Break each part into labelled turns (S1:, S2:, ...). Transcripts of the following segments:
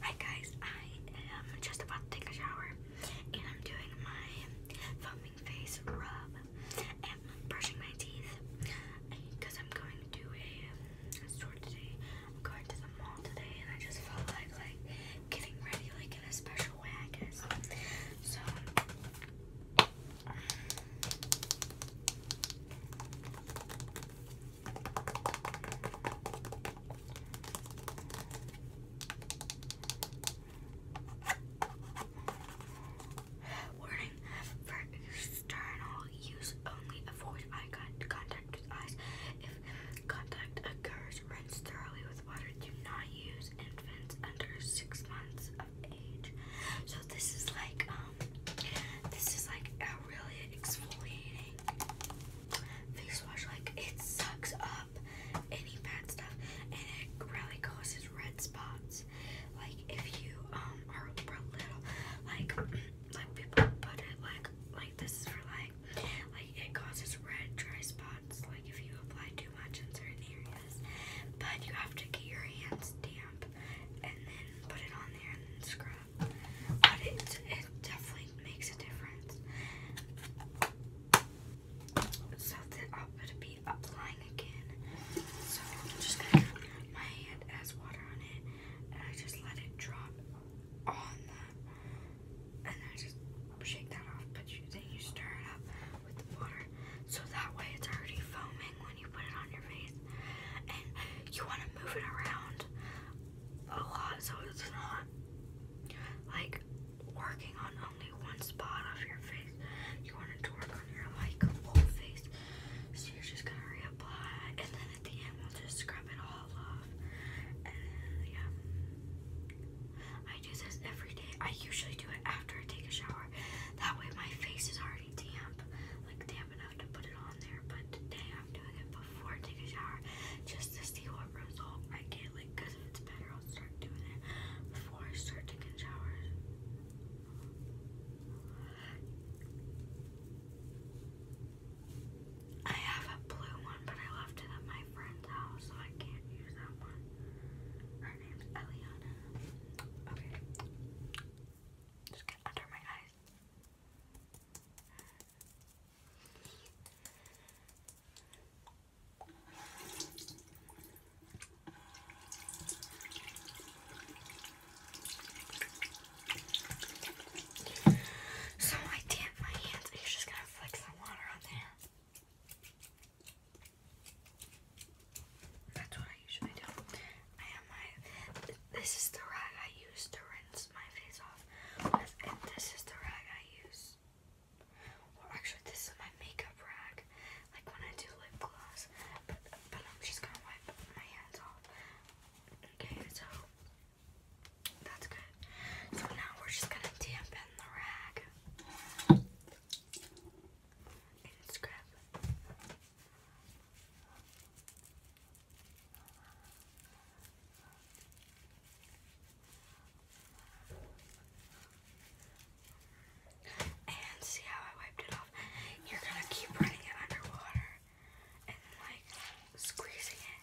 S1: Hi guys, I am just about to take a shower and I'm doing my foaming face rub and brushing my teeth because I'm going to do a, a store today. I'm going to the mall today and I just felt like like getting ready like in a special way I guess. So um, Warning for external use only avoid eye contact with eyes. If contact occurs, rinse thoroughly with water. Do not use infants under six months of age. So this is like um this is like a really exfoliating face wash. Like it sucks up any bad stuff, and it really causes red spots. Like if you um are little, like like people put it like like this for like like it causes red dry spots. Like if you apply too much in certain areas, but you have to get your hands damp and then put it on there and then scrub. But it, it definitely makes a difference. So then I'm be applying again. So I'm just going to put my hand has water on it and I just let it drop on the and I just shake that off but then you stir it up with the water so that way it's already foaming when you put it on your face, and you want to move it around a lot so it's not like working on only one spot of your face. You want it to work on your like whole face, so you're just gonna reapply, and then at the end we'll just scrub it all off. And yeah, I do this every day. I usually do it after I take a shower. That way my face is already pretty damp, like damp enough to put it on there. But today I'm doing it before I a shower just to see what result I get. Like, because if it's better, I'll start doing it before I start taking showers. I have a blue one, but I left it at my friend's house, so I can't use that one. Her name's Eliana. Okay. Just get under my eyes. So I damp my hands, but you just gonna flick some water on there. That's what I usually do. I have my. This is the rag I use to rinse my face off this is the rag I use. Well, actually, this is my makeup rag, like when I do lip gloss. But, but I'm just gonna wipe my hands off. Okay, so that's good. So now we're just gonna dampen the rag. And it's And see how I wiped it off? You're gonna keep running it under water and like squeezing it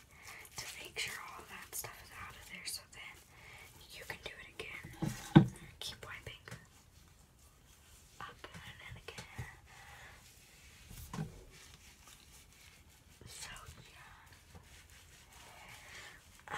S1: to make sure all that stuff is out of there so then you can do it again. Keep wiping. Up and then again. So yeah. Um,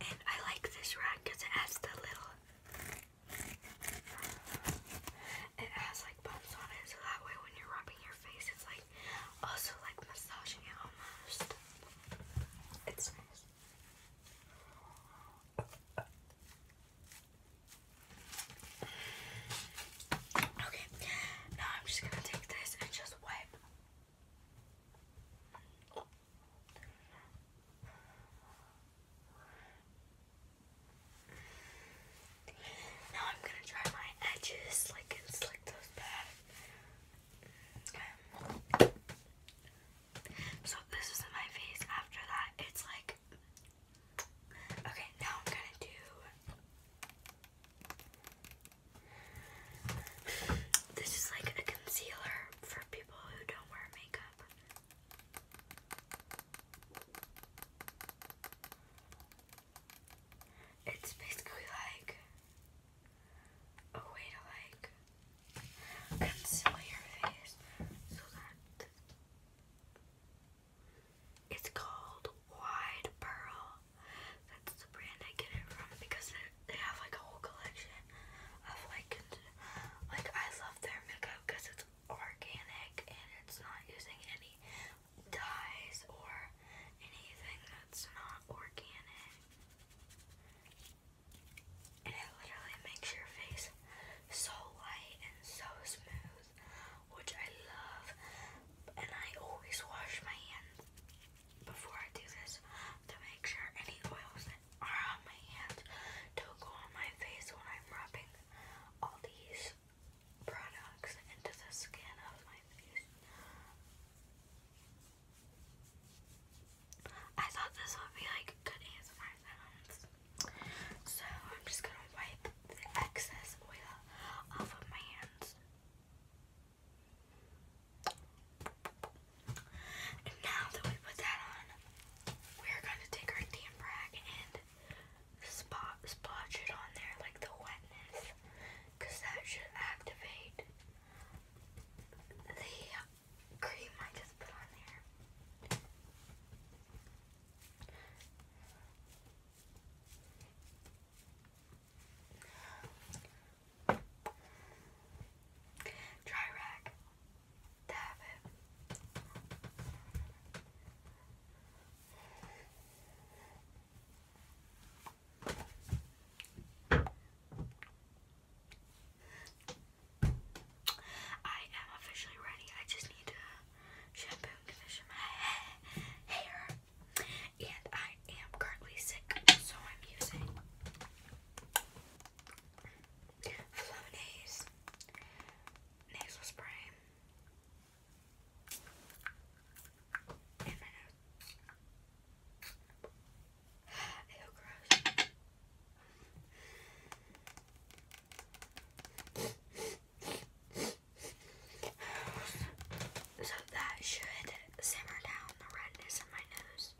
S1: I like this rack because it has the little. It has like bumps on it, so that way when you're rubbing your face, it's like also like massaging it almost. It's nice. Okay, now I'm just gonna take this and just wipe. Now I'm gonna try my edges like it's those bad. So this is my face after that. It's like Okay, now I'm gonna do. This is like a concealer for people who don't wear makeup. It's basically like a way to like conceal your face so that it's called Wide Pearl. That's the brand I get it from because they have like a whole collection of like, like I love their makeup because it's organic and it's not using any dyes or anything that's not organic and it literally makes your face so light and so smooth, which I love. And I always wash my hands before I do this to make sure any oils that are on my hands don't go on my face when I'm rubbing all these products into the skin of my face. I thought this would be like good ASMR sounds. So I'm just gonna wipe the excess oil off of my hands. And now that we put that on, we're gonna take our damp rag and spot splotch it on there like the wetness. that should activate the I just put on there. Dry rack. Dab it. I am officially ready. I just need to shampoo and condition my hair. And I am currently sick, so I'm using Flonase nasal spray in my So that should simmer down the redness in my nose.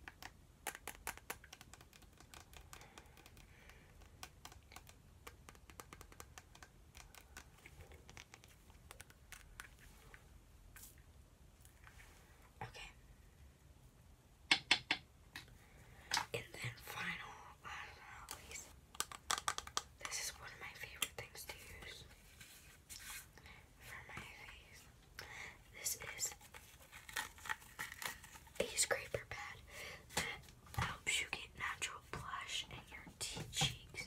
S1: Okay. And then final, this is one of my favorite things to use for my face. This is a scraper pad that helps you get natural blush in your cheeks.